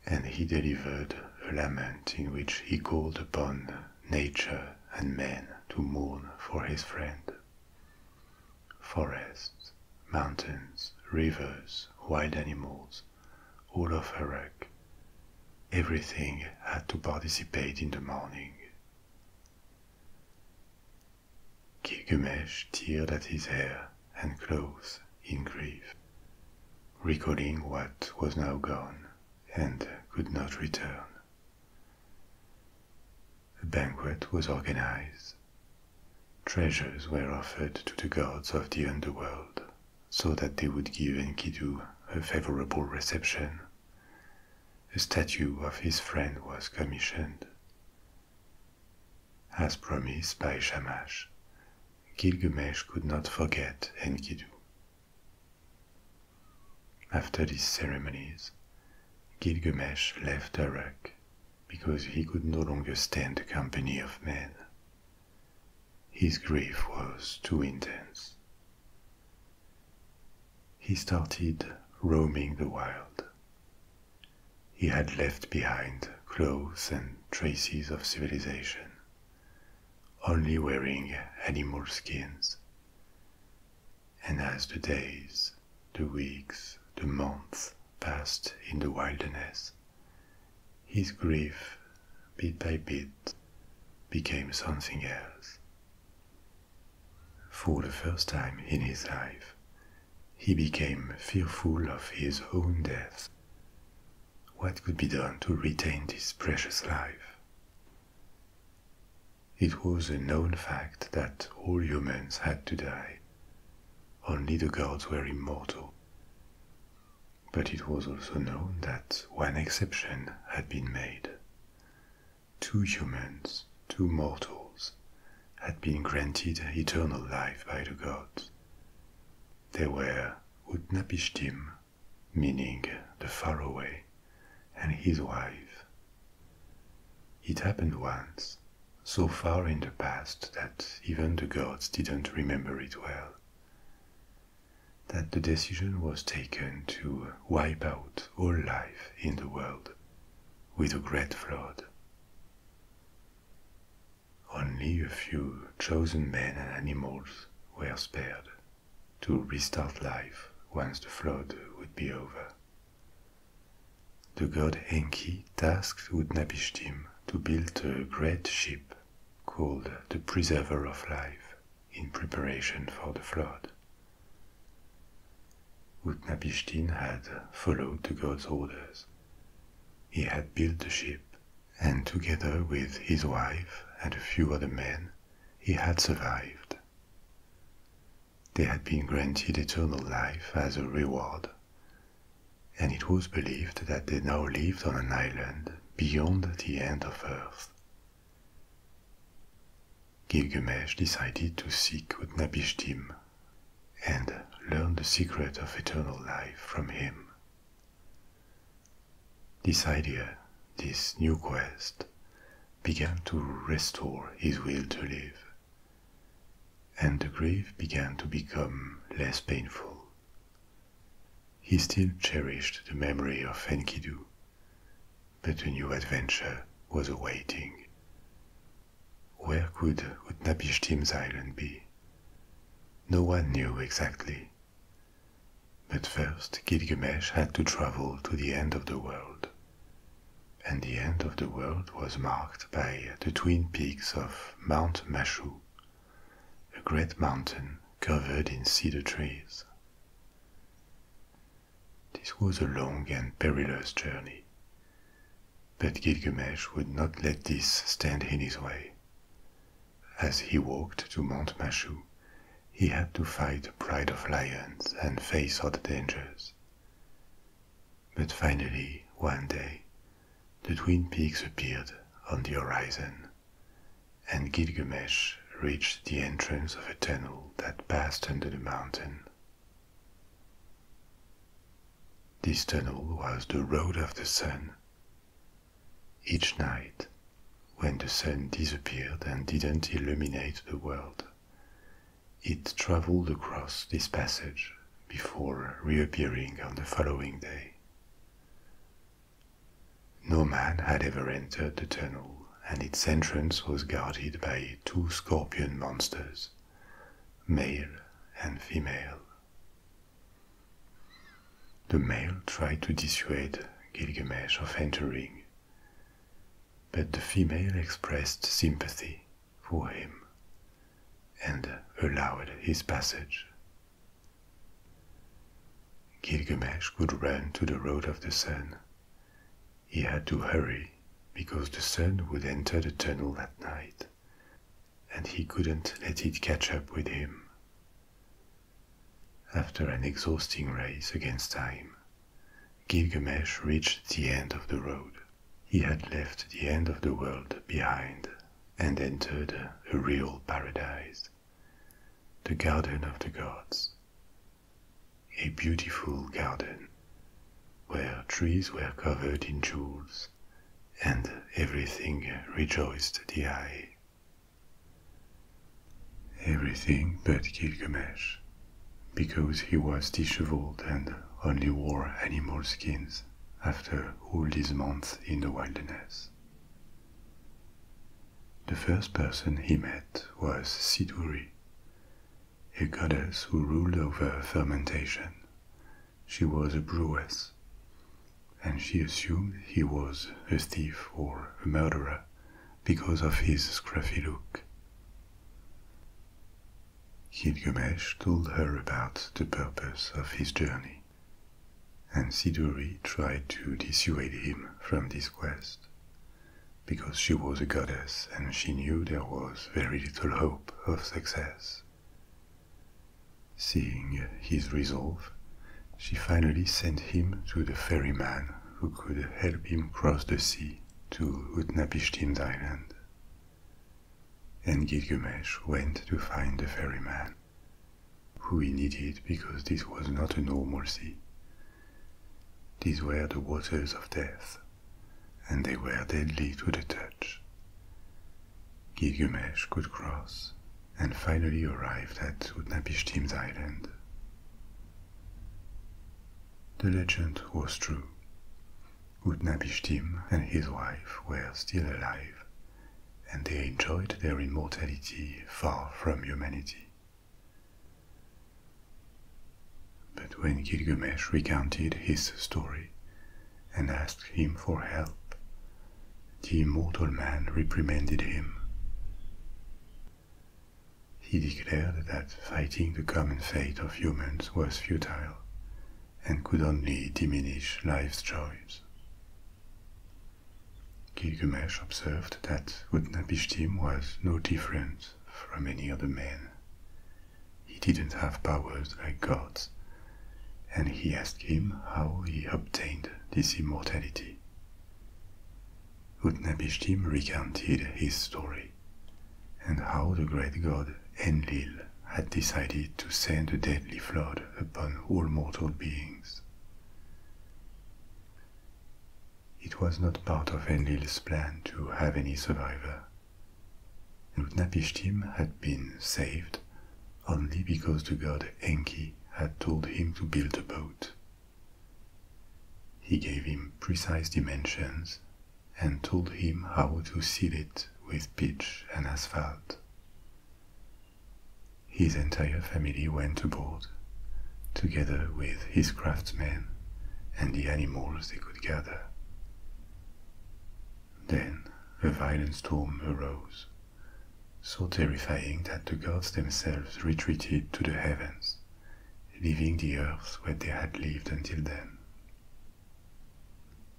and he delivered a lament in which he called upon nature and men to mourn for his friend. Forests, mountains, rivers, wild animals, all of Iraq. Everything had to participate in the mourning. Gilgamesh teared at his hair and clothes in grief, recalling what was now gone and could not return. A banquet was organized Treasures were offered to the gods of the underworld so that they would give Enkidu a favorable reception. A statue of his friend was commissioned. As promised by Shamash, Gilgamesh could not forget Enkidu. After these ceremonies, Gilgamesh left Uruk because he could no longer stand the company of men. His grief was too intense. He started roaming the wild. He had left behind clothes and traces of civilization, only wearing animal skins. And as the days, the weeks, the months passed in the wilderness. His grief, bit by bit, became something else. For the first time in his life, he became fearful of his own death. What could be done to retain this precious life? It was a known fact that all humans had to die, only the gods were immortal. But it was also known that one exception had been made. Two humans, two mortals, had been granted eternal life by the gods. They were Utnapishtim, meaning the faraway, and his wife. It happened once so far in the past that even the gods didn't remember it well. That the decision was taken to wipe out all life in the world with a great flood. Only a few chosen men and animals were spared to restart life once the flood would be over. The god Enki tasked Utnapishtim to build a great ship called the Preserver of Life in preparation for the flood. Utnapishtim had followed the god's orders. He had built the ship, and together with his wife and a few other men, he had survived. They had been granted eternal life as a reward, and it was believed that they now lived on an island beyond the end of Earth. Gilgamesh decided to seek Utnapishtim and learn the secret of eternal life from him. This idea, this new quest, began to restore his will to live, and the grief began to become less painful he still cherished the memory of Enkidu, but a new adventure was awaiting. Where could Utnapishtim's island be? No one knew exactly. But first Gilgamesh had to travel to the end of the world. And the end of the world was marked by the twin peaks of Mount Mashu a great mountain covered in cedar trees. This was a long and perilous journey, but Gilgamesh would not let this stand in his way. As he walked to Mount Mashu, he had to fight pride of lions and face other dangers. But finally, one day, the twin peaks appeared on the horizon, and Gilgamesh reached the entrance of a tunnel that passed under the mountain. This tunnel was the road of the sun. Each night, when the sun disappeared and didn't illuminate the world, it traveled across this passage before reappearing on the following day. No man had ever entered the tunnel, and its entrance was guarded by two scorpion monsters, male and female. The male tried to dissuade Gilgamesh of entering, but the female expressed sympathy for him and allowed his passage Gilgamesh could run to the road of the sun. He had to hurry because the sun would enter the tunnel that night, and he couldn't let it catch up with him. After an exhausting race against time, Gilgamesh reached the end of the road. He had left the end of the world behind and entered a real paradise, the garden of the gods. A beautiful garden, where trees were covered in jewels, and everything rejoiced the eye. Everything but Gilgamesh, because he was disheveled and only wore animal skins after all these months in the wilderness. The first person he met was Siduri, a goddess who ruled over fermentation. She was a brewess, and she assumed he was a thief or a murderer because of his scruffy look. Gilgamesh told her about the purpose of his journey and Siduri tried to dissuade him from this quest, because she was a goddess and she knew there was very little hope of success. Seeing his resolve, she finally sent him to the ferryman who could help him cross the sea to Utnapishtim's island. And Gilgamesh went to find the ferryman who he needed because this was not a normal sea. These were the waters of death, and they were deadly to the touch. Gilgamesh could cross and finally arrived at Utnapishtim's island. The legend was true. Utnapishtim and his wife were still alive and they enjoyed their immortality far from humanity. But when Gilgamesh recounted his story and asked him for help, the immortal man reprimanded him. He declared that fighting the common fate of humans was futile and could only diminish life's joys. Gilgamesh observed that Utnapishtim was no different from any other man. He didn't have powers like gods, and he asked him how he obtained this immortality. Utnapishtim recounted his story and how the great god Enlil had decided to send a deadly flood upon all mortal beings. It was not part of Enlil's plan to have any survivor. And Utnapishtim had been saved only because the god Enki had told him to build a boat. He gave him precise dimensions and told him how to seal it with pitch and asphalt. His entire family went aboard, together with his craftsmen and the animals they could gather. Then a violent storm arose, so terrifying that the gods themselves retreated to the heavens, leaving the earth where they had lived until then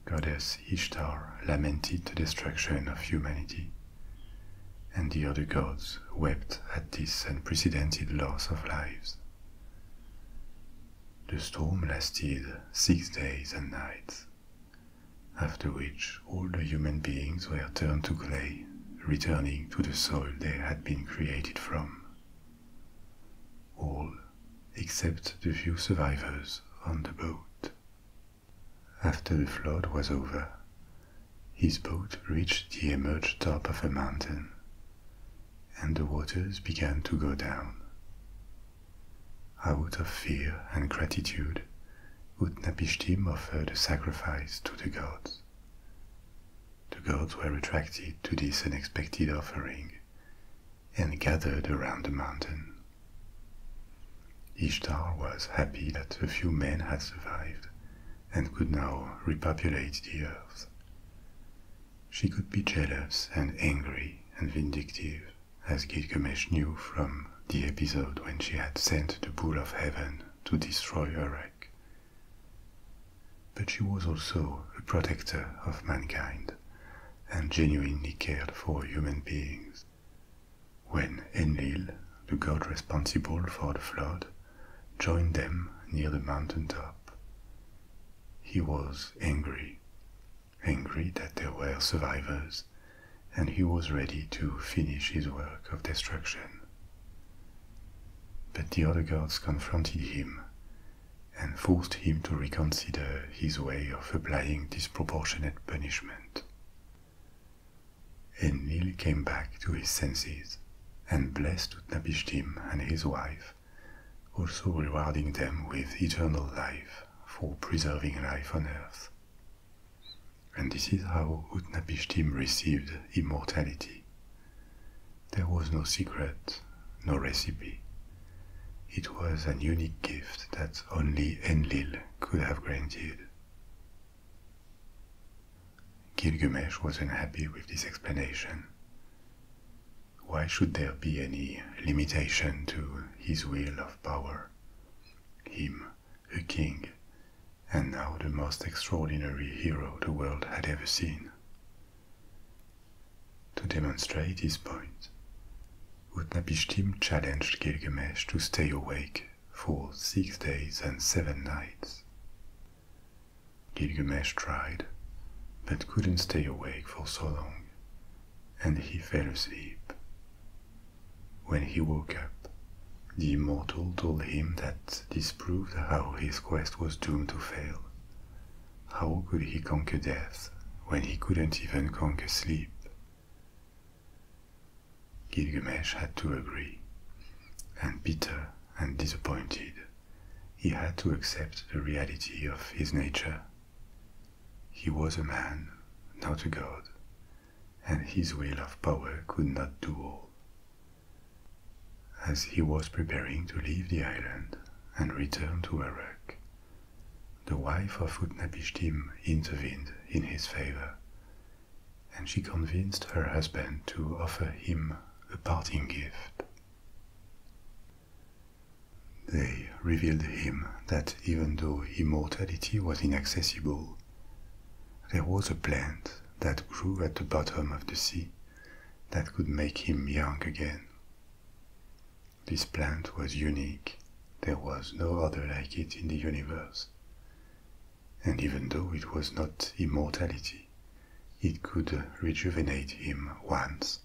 goddess Ishtar lamented the destruction of humanity, and the other gods wept at this unprecedented loss of lives. The storm lasted six days and nights, after which all the human beings were turned to clay, returning to the soil they had been created from. All except the few survivors on the boat. After the flood was over, his boat reached the emerged top of a mountain, and the waters began to go down. Out of fear and gratitude, Utnapishtim offered a sacrifice to the gods. The gods were attracted to this unexpected offering and gathered around the mountain. Ishtar was happy that a few men had survived and could now repopulate the earth. She could be jealous and angry and vindictive, as Gilgamesh knew from the episode when she had sent the bull of heaven to destroy Erech. But she was also a protector of mankind and genuinely cared for human beings when Enlil, the god responsible for the flood, joined them near the mountain top. He was angry, angry that there were survivors, and he was ready to finish his work of destruction. But the other gods confronted him and forced him to reconsider his way of applying disproportionate punishment. Enlil came back to his senses and blessed Utnapishtim and his wife, also rewarding them with eternal life for preserving life on earth. And this is how Utnapishtim received immortality. There was no secret, no recipe. It was an unique gift that only Enlil could have granted. Gilgamesh was unhappy with this explanation. Why should there be any limitation to his will of power? Him, a king, and now the most extraordinary hero the world had ever seen. To demonstrate his point, Utnapishtim challenged Gilgamesh to stay awake for six days and seven nights. Gilgamesh tried, but couldn't stay awake for so long, and he fell asleep. When he woke up, the immortal told him that this proved how his quest was doomed to fail. How could he conquer death when he couldn't even conquer sleep? Gilgamesh had to agree, and bitter and disappointed, he had to accept the reality of his nature. He was a man, not a god, and his will of power could not do all. As he was preparing to leave the island and return to Erech, the wife of Utnapishtim intervened in his favor and she convinced her husband to offer him a parting gift. They revealed him that even though immortality was inaccessible, there was a plant that grew at the bottom of the sea that could make him young again. This plant was unique, there was no other like it in the universe. And even though it was not immortality, it could rejuvenate him once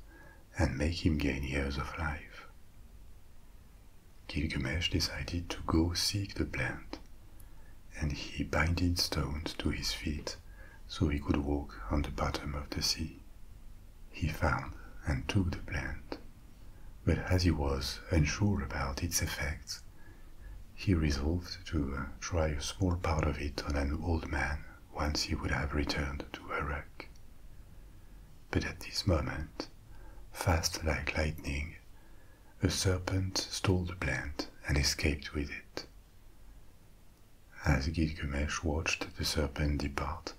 and make him gain years of life. Gilgamesh decided to go seek the plant, and he binded stones to his feet so he could walk on the bottom of the sea. He found and took the plant but as he was unsure about its effects, he resolved to uh, try a small part of it on an old man once he would have returned to Uruk. But at this moment, fast like lightning, a serpent stole the plant and escaped with it. As Gilgamesh watched the serpent depart,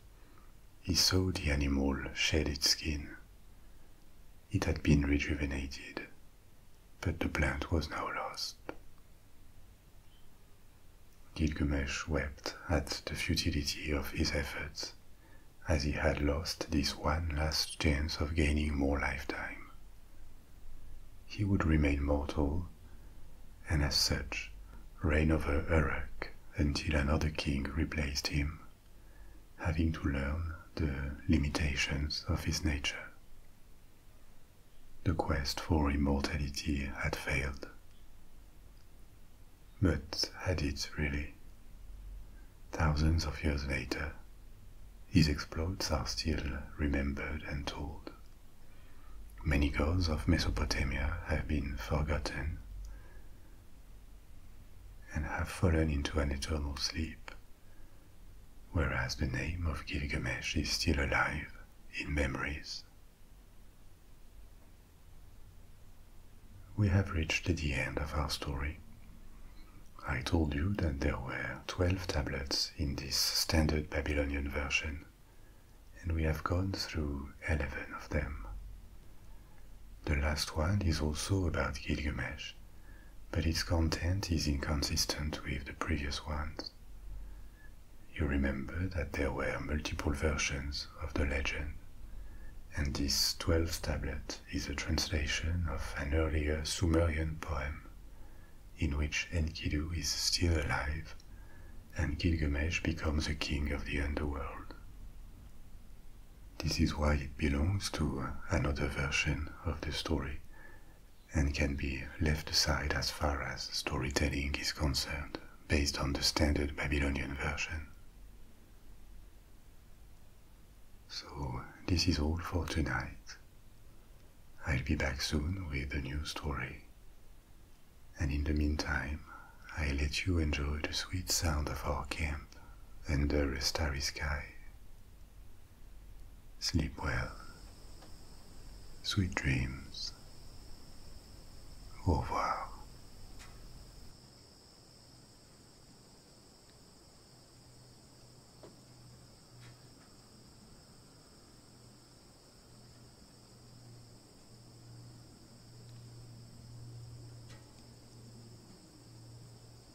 he saw the animal shed its skin. It had been rejuvenated, but the plant was now lost. Gilgamesh wept at the futility of his efforts, as he had lost this one last chance of gaining more lifetime. He would remain mortal, and as such, reign over Uruk until another king replaced him having to learn the limitations of his nature. The quest for immortality had failed. But had it really? Thousands of years later, his exploits are still remembered and told. Many gods of Mesopotamia have been forgotten, and have fallen into an eternal sleep, whereas the name of Gilgamesh is still alive in memories. We have reached the end of our story. I told you that there were 12 tablets in this standard Babylonian version, and we have gone through 11 of them. The last one is also about Gilgamesh, but its content is inconsistent with the previous ones. You remember that there were multiple versions of the legend, and this 12th tablet is a translation of an earlier Sumerian poem in which Enkidu is still alive and Gilgamesh becomes a king of the underworld. This is why it belongs to uh, another version of the story and can be left aside as far as storytelling is concerned based on the standard Babylonian version. So, this is all for tonight. I'll be back soon with a new story. And in the meantime, I let you enjoy the sweet sound of our camp under a starry sky. Sleep well. Sweet dreams. Au revoir.